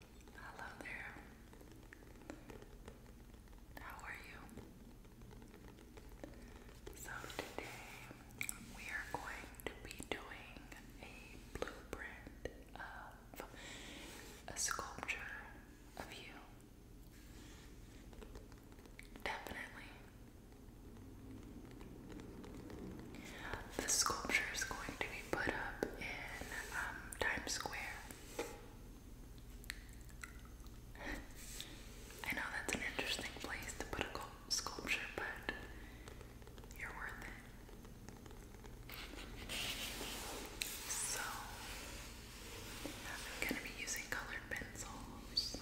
Hello there. How are you? So, today we are going to be doing a blueprint of a sculpture of you. Definitely. The sculpture is going to be put up in um, Times Square. I know that's an interesting place to put a sculpture, but you're worth it. So, I'm going to be using colored pencils,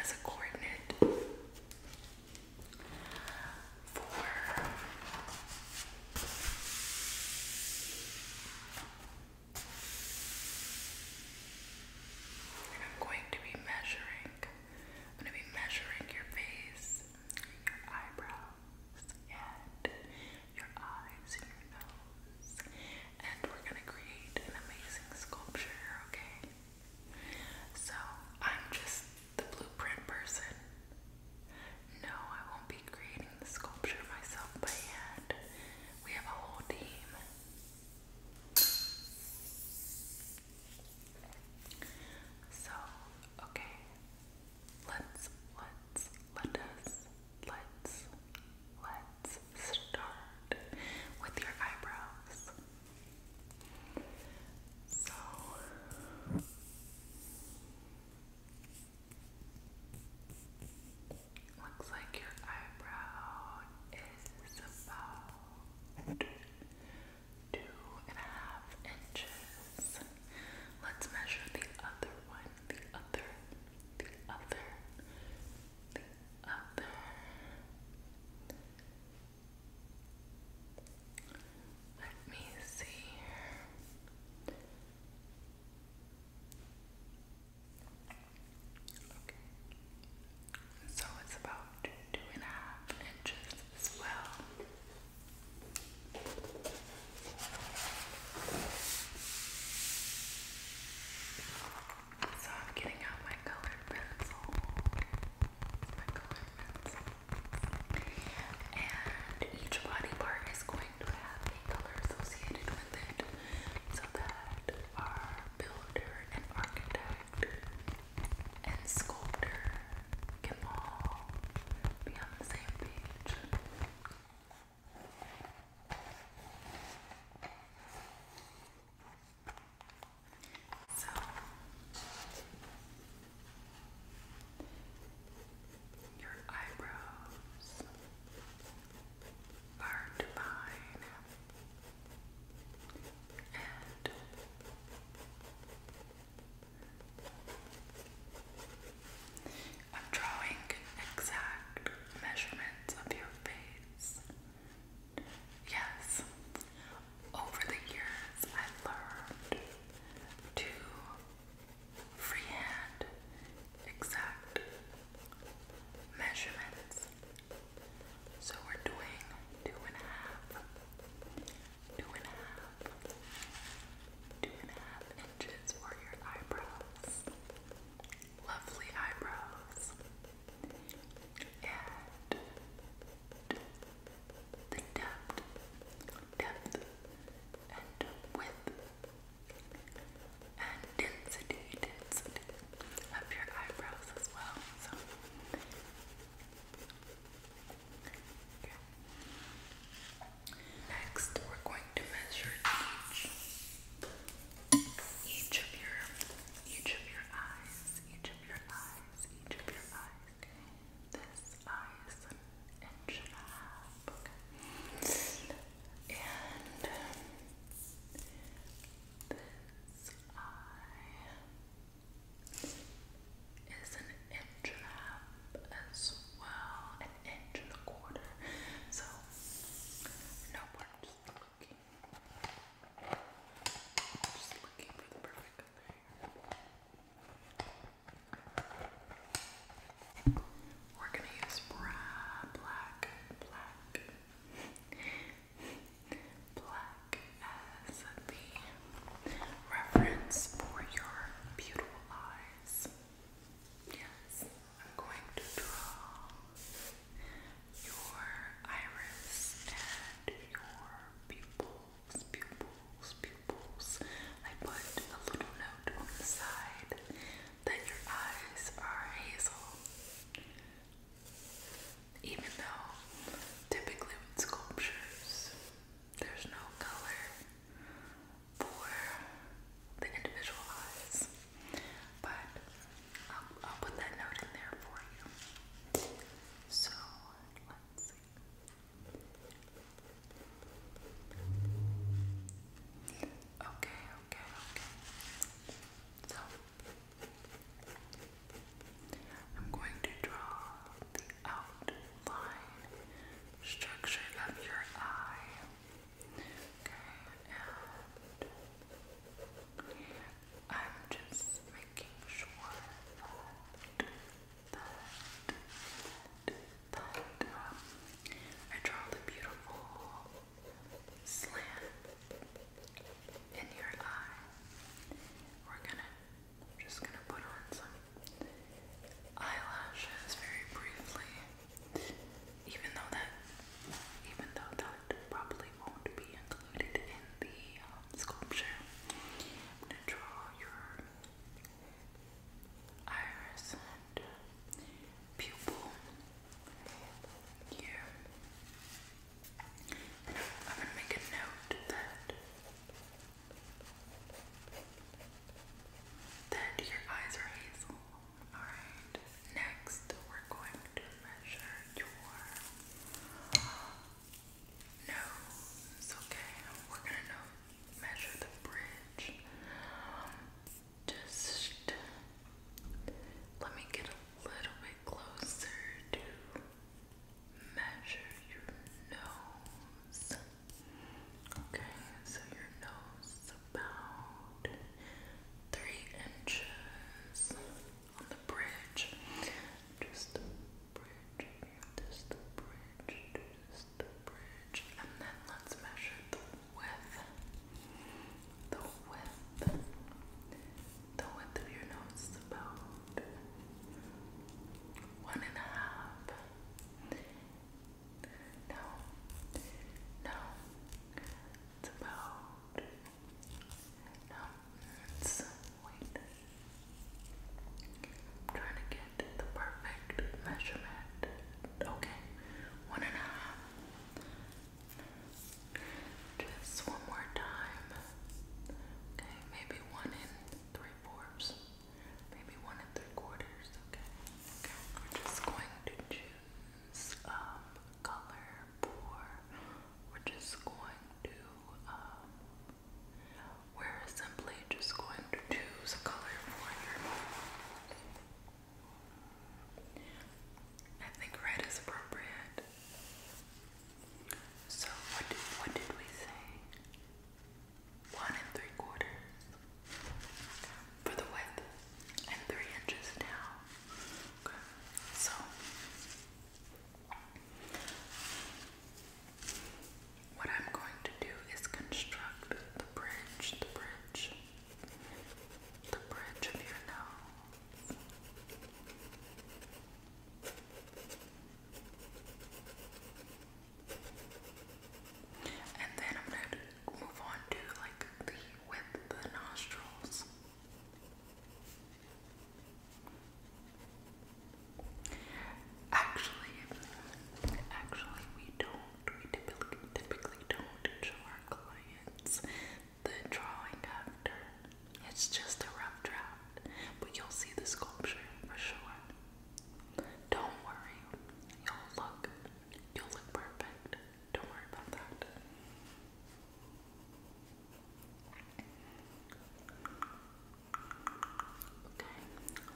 as a coordinate for I'm going to be measuring I'm going to be measuring your face, your eyebrows, and your eyes and your nose. And we're going to create an amazing sculpture, okay? So, I'm just the blueprint person. No, I won't be creating the sculpture myself by hand. We have a whole team. So, okay. Let's let's let us let's let's start with your eyebrows. So looks like your eyebrow is about two and a half inches. Let's measure the other one, the other, the other, the other. Let me see Okay. So it's about two and a half inches as well. I'm getting out my colored pencil my colorments. And each body part is going to have a color associated with it so that our builder and architect and sculptor can all be on the same page. So your eyebrows are divine and I'm drawing exact measurements of your face. Yes, over the years, I learned to freehand exact measurements. So we're doing two and a half, two and a half, two and a half inches for your eyebrows. Lovely eyebrows. And the depth, depth and width and density, density of your eyebrows as well. So Next, we're going to measure each, each of your, each of your eyes, each of your eyes, each of your eyes. Okay, this eye is an inch and this eye is an inch as well, an inch So no we just looking. Just looking for the perfect we're gonna use black, black, black as the reference for your beautiful eyes. Yes, I'm going to draw your iris and your pupil pupils, pupils, pupils. I put a little note on the side that your eyes are hazel. Even though typically with sculptures, there's no color for the individual eyes. But I'll, put that note in there for you. So Okay, okay, okay. So, I'm going to draw the outline structure of your eye. Okay, I'm just making sure that, that, I draw the beautiful slant in your eye. We're gonna, just gonna put on some eyelashes very briefly. Even though that, even though that probably probably won't be included in the um, sculpture. I'm gonna draw your iris and uh, pupil here. I'm gonna make a note that that your eyes are hazel. Alright. Next we're going to measure your nose, okay? We're gonna measure the bridge. just let me get a little bit closer to measure your nose. Okay, so your nose is about three inches on the bridge. Just the bridge, just the bridge, just the bridge. And then let's measure the width. The width. The width of your nose is about one and a half. No, no, it's about no, it's wait. I'm trying to get the perfect measurement. Okay, one and a half. Just one more time. Okay, maybe one in three fourths. Maybe one and three quarters. Okay. Okay. We're just going to choose um color poor, we're just going to, um, we're simply just going to choose a color for you. I think red is appropriate. So what did, what did we say? One and three quarters for the width and three inches down. Okay. So what I'm going to do is construct the bridge, the bridge, the bridge of your nose. And then I'm going to move on to like the width of the nostrils. Actually, actually, we don't. We typically, don't show our clients the drawing after. It's just a rough draft, but you'll see the sculpture for sure. Don't worry, you'll look, you'll look perfect. Don't worry about that. Okay,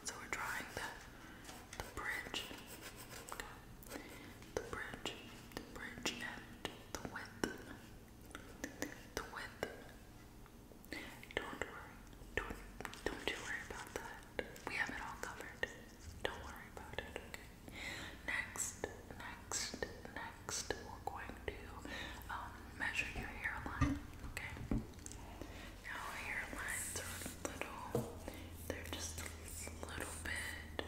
so we're drawing the, the bridge. The bridge, the bridge and the width. The width. Don't worry. Don't don't you worry about that. We have it all covered. Don't worry about it, Next, next, next next, we're going to um, measure your hairline. Okay. Now hairlines are a little, they're just a little bit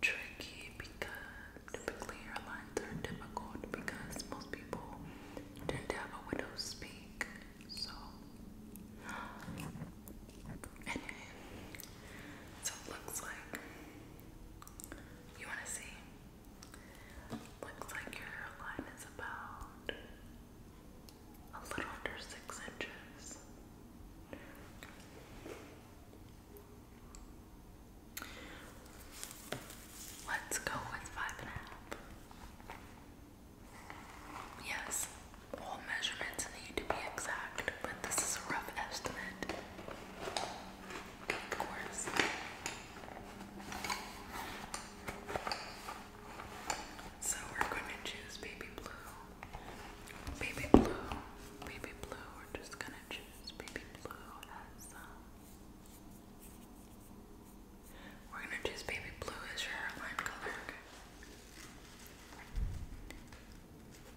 tricky because typically hairlines are difficult because most people tend to have a widow's peak. So. Anyway, so looks like you want to see? Looks like your hairline is about a little under six inches. Let's go with five and a half. Yes, all measurements need to be exact, but this is a rough estimate of course. So we're going to choose baby blue. Baby blue. Baby blue. We're just going to choose baby blue as um, We're going to choose baby blue as your hairline color.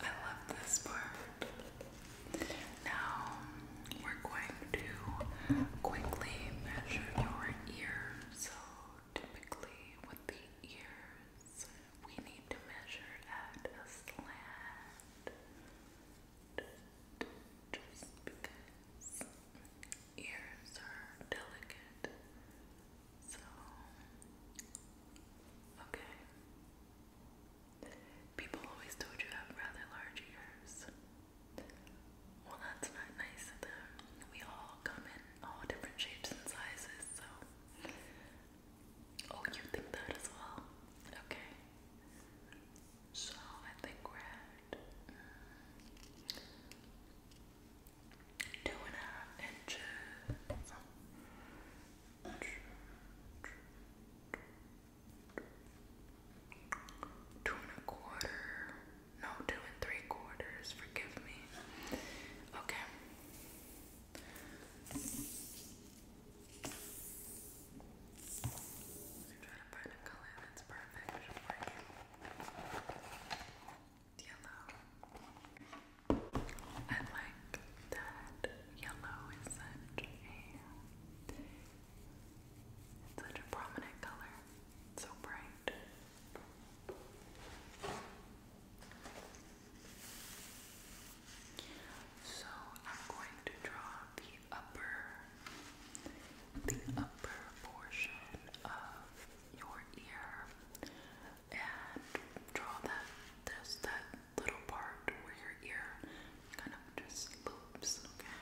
I love this part. Now we're going to quickly measure your ear. So typically with the ears, we need to measure at a slant. Just because ears are delicate. So, okay. People always told you have rather large ears. Well, that's not nice of them. We all come in all different shapes and sizes, so. Oh, you think that as well? Okay. So I think we're at mm, two and a half inches. Two and a quarter. No, two and three quarters. Forgive me. Okay. that's perfect I like that yellow is such a such a prominent color. so bright. So I'm going to draw the upper the upper portion of your ear and draw that there's that little part where your ear kind of just loops, okay?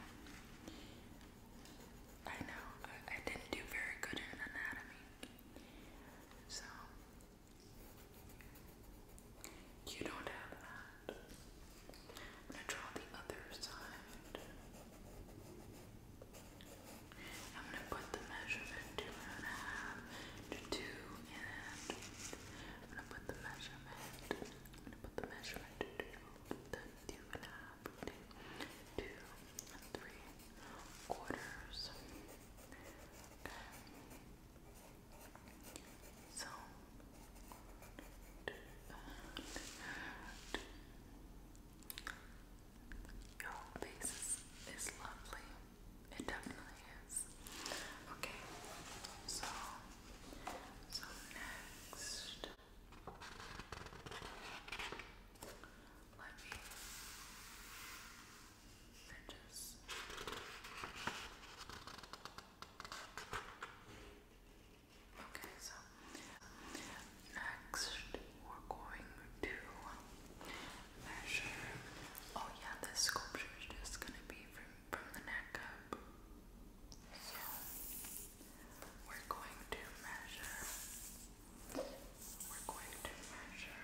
I know, I, didn't do very good in anatomy. So you don't have that. I'm gonna draw the other side. I'm gonna put the measurement two and a half to two and I'm gonna put the measurement. I'm gonna put the measurement to the two and a half to two and three quarters. Okay. So do Your face is, is lovely. It definitely is. Okay, so so next let me fringes. Okay, so next we're going to measure. Oh yeah, this sculpture is just gonna be from from the neck up. So we're going to measure. We're going to measure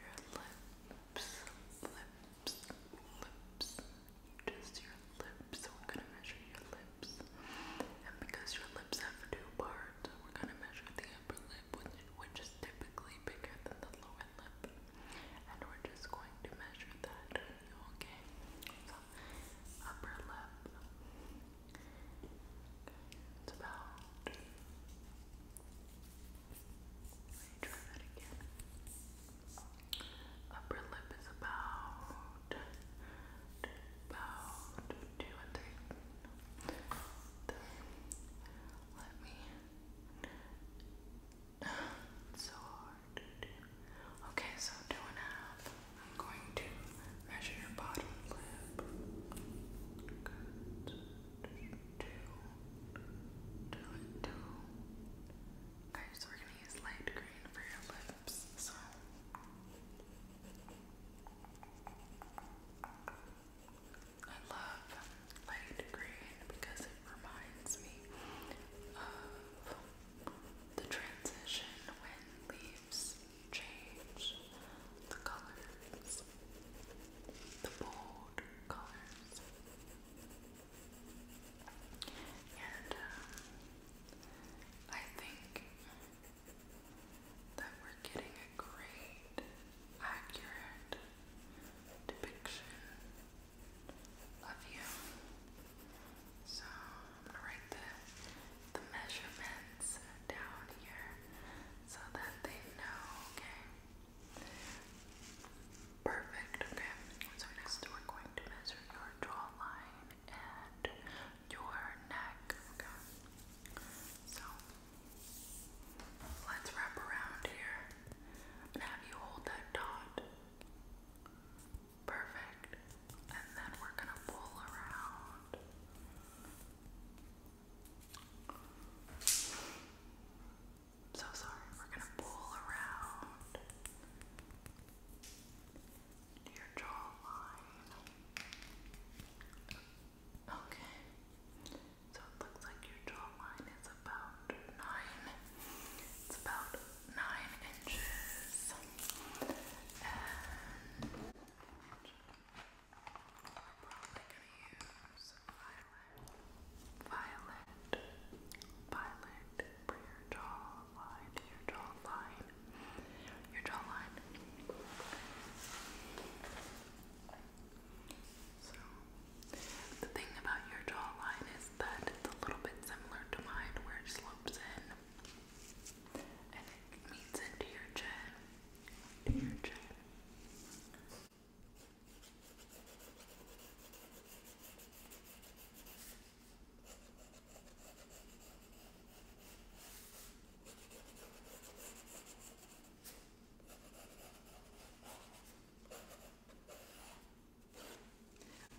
your lips, lips, lips. Just your lips. So we're gonna measure your lips. And because your lips have two parts, we're gonna measure the upper lip, which, is typically bigger than the lower lip. And we're just going to measure that, okay? So, upper lip. It's about. Let me try that again. Upper lip is about about two and three let me. so hard to do. Okay, so two and a half. I'm going to measure your bottom lip. Good. Two. Two and two. Okay, we're gonna use light green for your lips. So. I love light green because it reminds me of the transition when leaves change the colors, the bold colors. And um, I think that we're getting a great, accurate depiction of you. So I'm gonna write the the measurements down here so that they know, okay? Perfect, okay. So next we're going to measure your jawline and your neck, okay? So Let's wrap around here. i you hold that dot. Perfect. And then we're gonna pull around. So sorry, we're gonna pull around your jawline. Okay. So it looks like your jawline is about nine. It's about nine inches. And we violet, violet, violet your jawline, your jawline, your jawline. So, the thing about your jawline is that it's a little bit similar to mine where it slopes in and it meets into your chin. To your chin.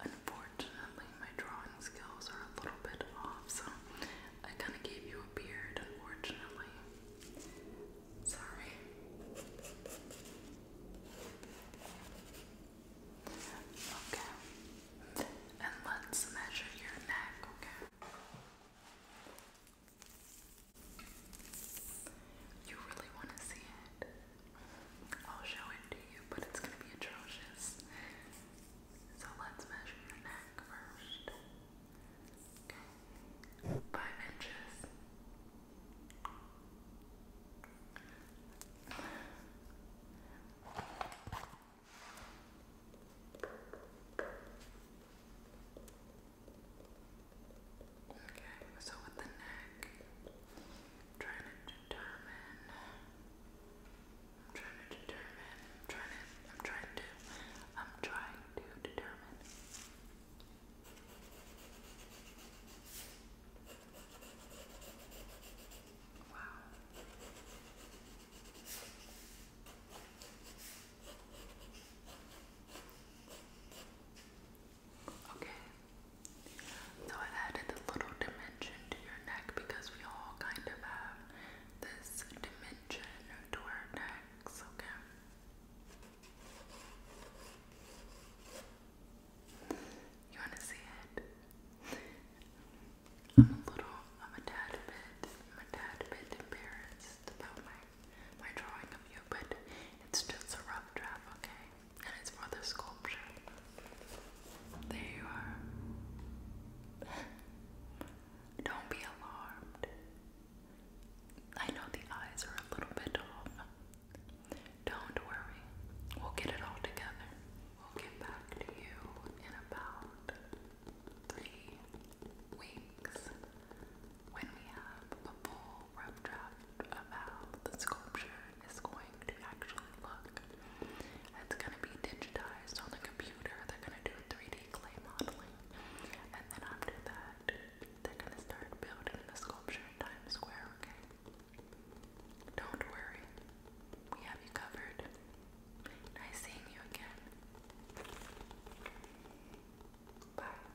Unfortunately, my drawing skills are a little bit off, so I kind of gave you a beard, unfortunately. Sorry. Okay. And let's measure your neck, okay? You really want to see it? I'll show it to you, but it's going to be atrocious. So let's measure your neck first. Okay. Five inches. Okay, so with the neck, I'm trying to determine, I'm trying to determine, I'm trying to, I'm trying to, I'm trying to determine. Wow. Okay. So I added a little dimension to your neck because we all kind of have this dimension to our necks, okay? You want to see it? I'm a little, I'm a tad bit, I'm a tad bit embarrassed about my, my drawing of you, but it's just a rough draft, okay? And it's for the sculpture. There you are. Don't be alarmed. I know the eyes are a little bit off. Don't worry. We'll get it all together. We'll get back to you in about three, weeks when we have a full rough draft of how the sculpture is going to actually look. It's going to be digitized on the computer, they're going to do 3D clay modeling, and then after that, they're going to start building the sculpture in Times Square, okay? Don't worry, we have you covered. Nice seeing you again. Bye.